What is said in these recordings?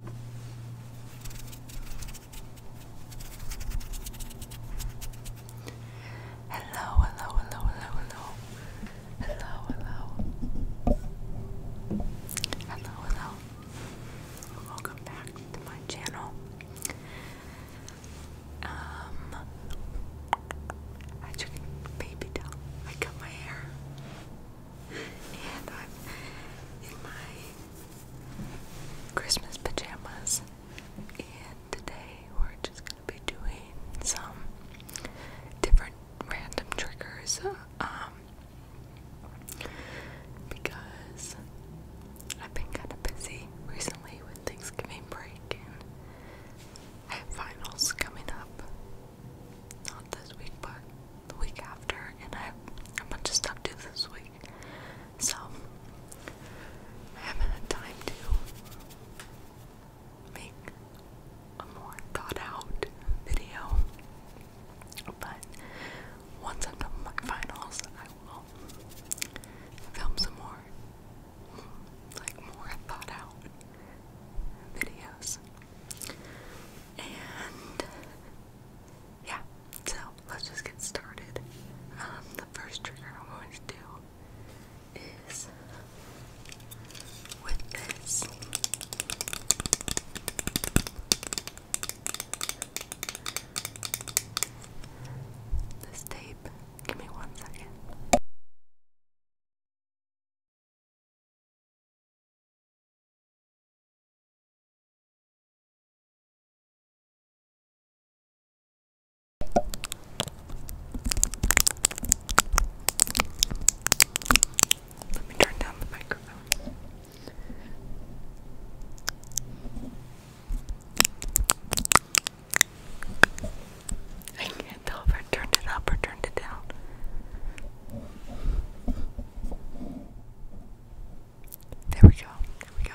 Hello, hello, hello, hello, hello. Hello, hello. Welcome back to my channel. Um I took I cut my hair and I'm in my Christmas pajamas. And today we're just gonna be doing some different random triggers. Um, because I've been kind of busy recently with Thanksgiving break and I have finals coming up not this week, but the week after, and I have a bunch of stuff due this week, so I haven't had time to make a more thought out video. But once I'm done with my finals, I will film some more, like more thought out videos. And yeah, so let's just get started. Um, the first trigger I'm going to do is with this. This tape. Give me one second. Let me turn down the microphone. I can't tell if I turned it up or turned it down. There we go. There we go.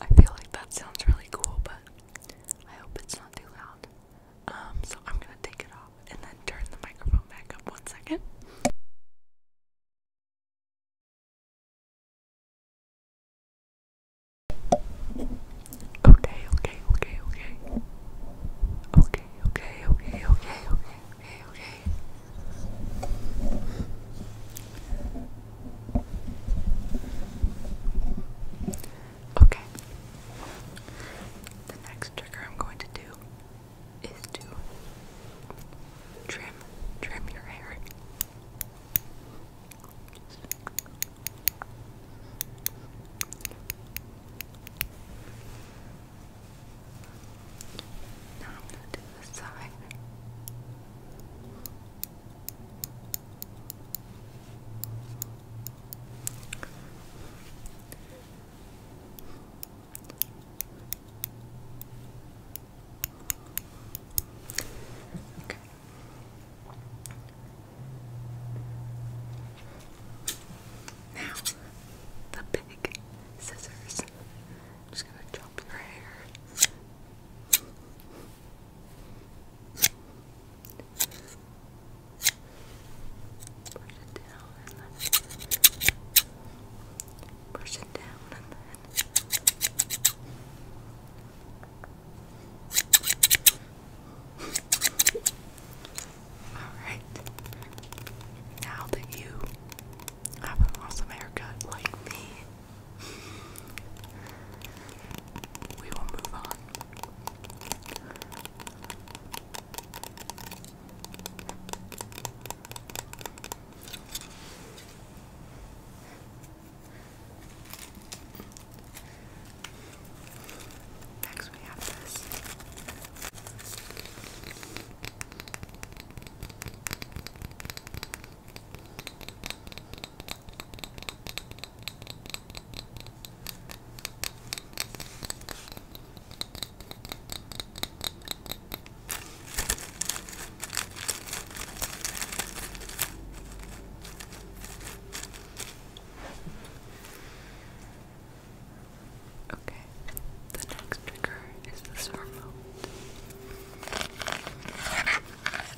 I feel like that sounds really cool, but I hope it's not too loud. Um, so I'm gonna take it off and then turn the microphone back up one second. Okay, okay, okay, okay. Okay, okay, okay, okay, okay, okay, okay. Okay. The next trigger I'm going to do is to trim, trim your hair. Now I'm going to do the side. Okay. Now, the big scissors. just gonna chop your hair. Push it down push it down and then Alright. Now that you have an awesome haircut like me we will move on. Next, we have this. Okay, the next trigger is this remote.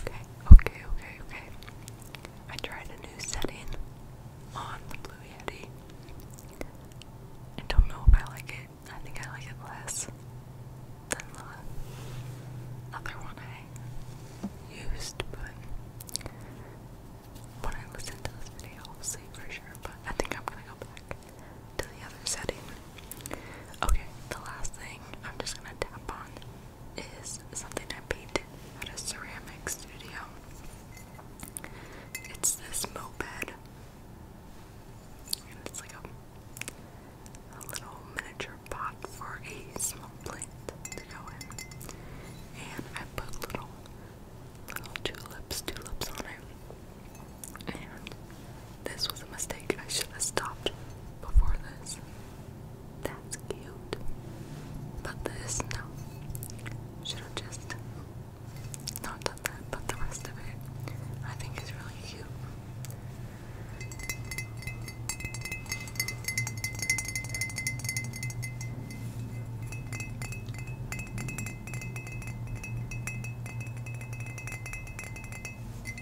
Okay, okay, okay, okay. I tried a new setting on the Blue Yeti. I don't know if I like it. I think I like it less than the other one I used, but when I listen to this video, I'll see for sure. But I think I'm gonna go back to the other setting. Okay, the last thing I'm just gonna tap on is something I painted at a ceramic studio. It's this moped. And it's like a little miniature pot for a small plant to go in. And I put little little tulips, tulips on it. And this was a mistake. I should have stopped before this. That's cute. But this, no. Should have just not done that, but the rest of it I think is really cute.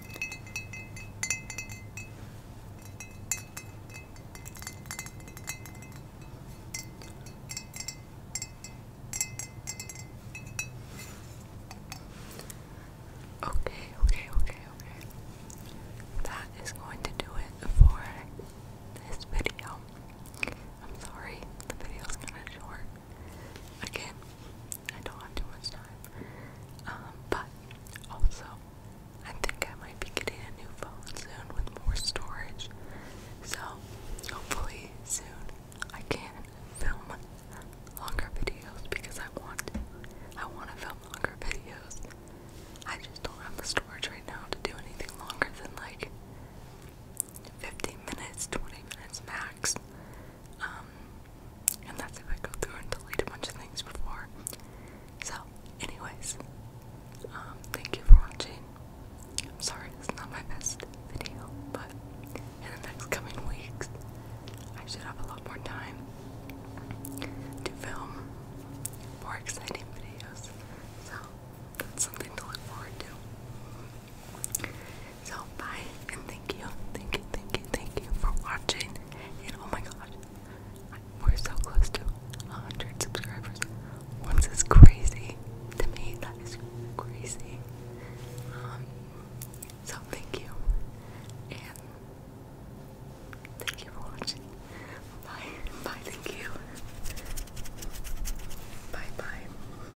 Okay, okay, okay, okay. That is going to do it for this video. I'm sorry, the video is kind of short. Again, I don't have too much time. Um, but also, I think I might be getting a new phone soon with more storage. So, hopefully, soon I can film longer videos because I want I want to film longer videos. I just don't have the storage right now to do anything longer than like 15 minutes, 20 minutes max. Um, and that's if I go through and delete a bunch of things before. So, anyways, um, thank you for watching. I'm sorry it's not my best video, but in the next coming weeks, I should have a lot more time to film more exciting videos. So, that's something to look forward to. So bye and thank you, thank you, thank you, thank you for watching. And oh my god, we're so close to 100 subscribers. Once is crazy to me. That is crazy. Um, so thank you and thank you for watching. Bye, bye. Thank you. Bye, bye.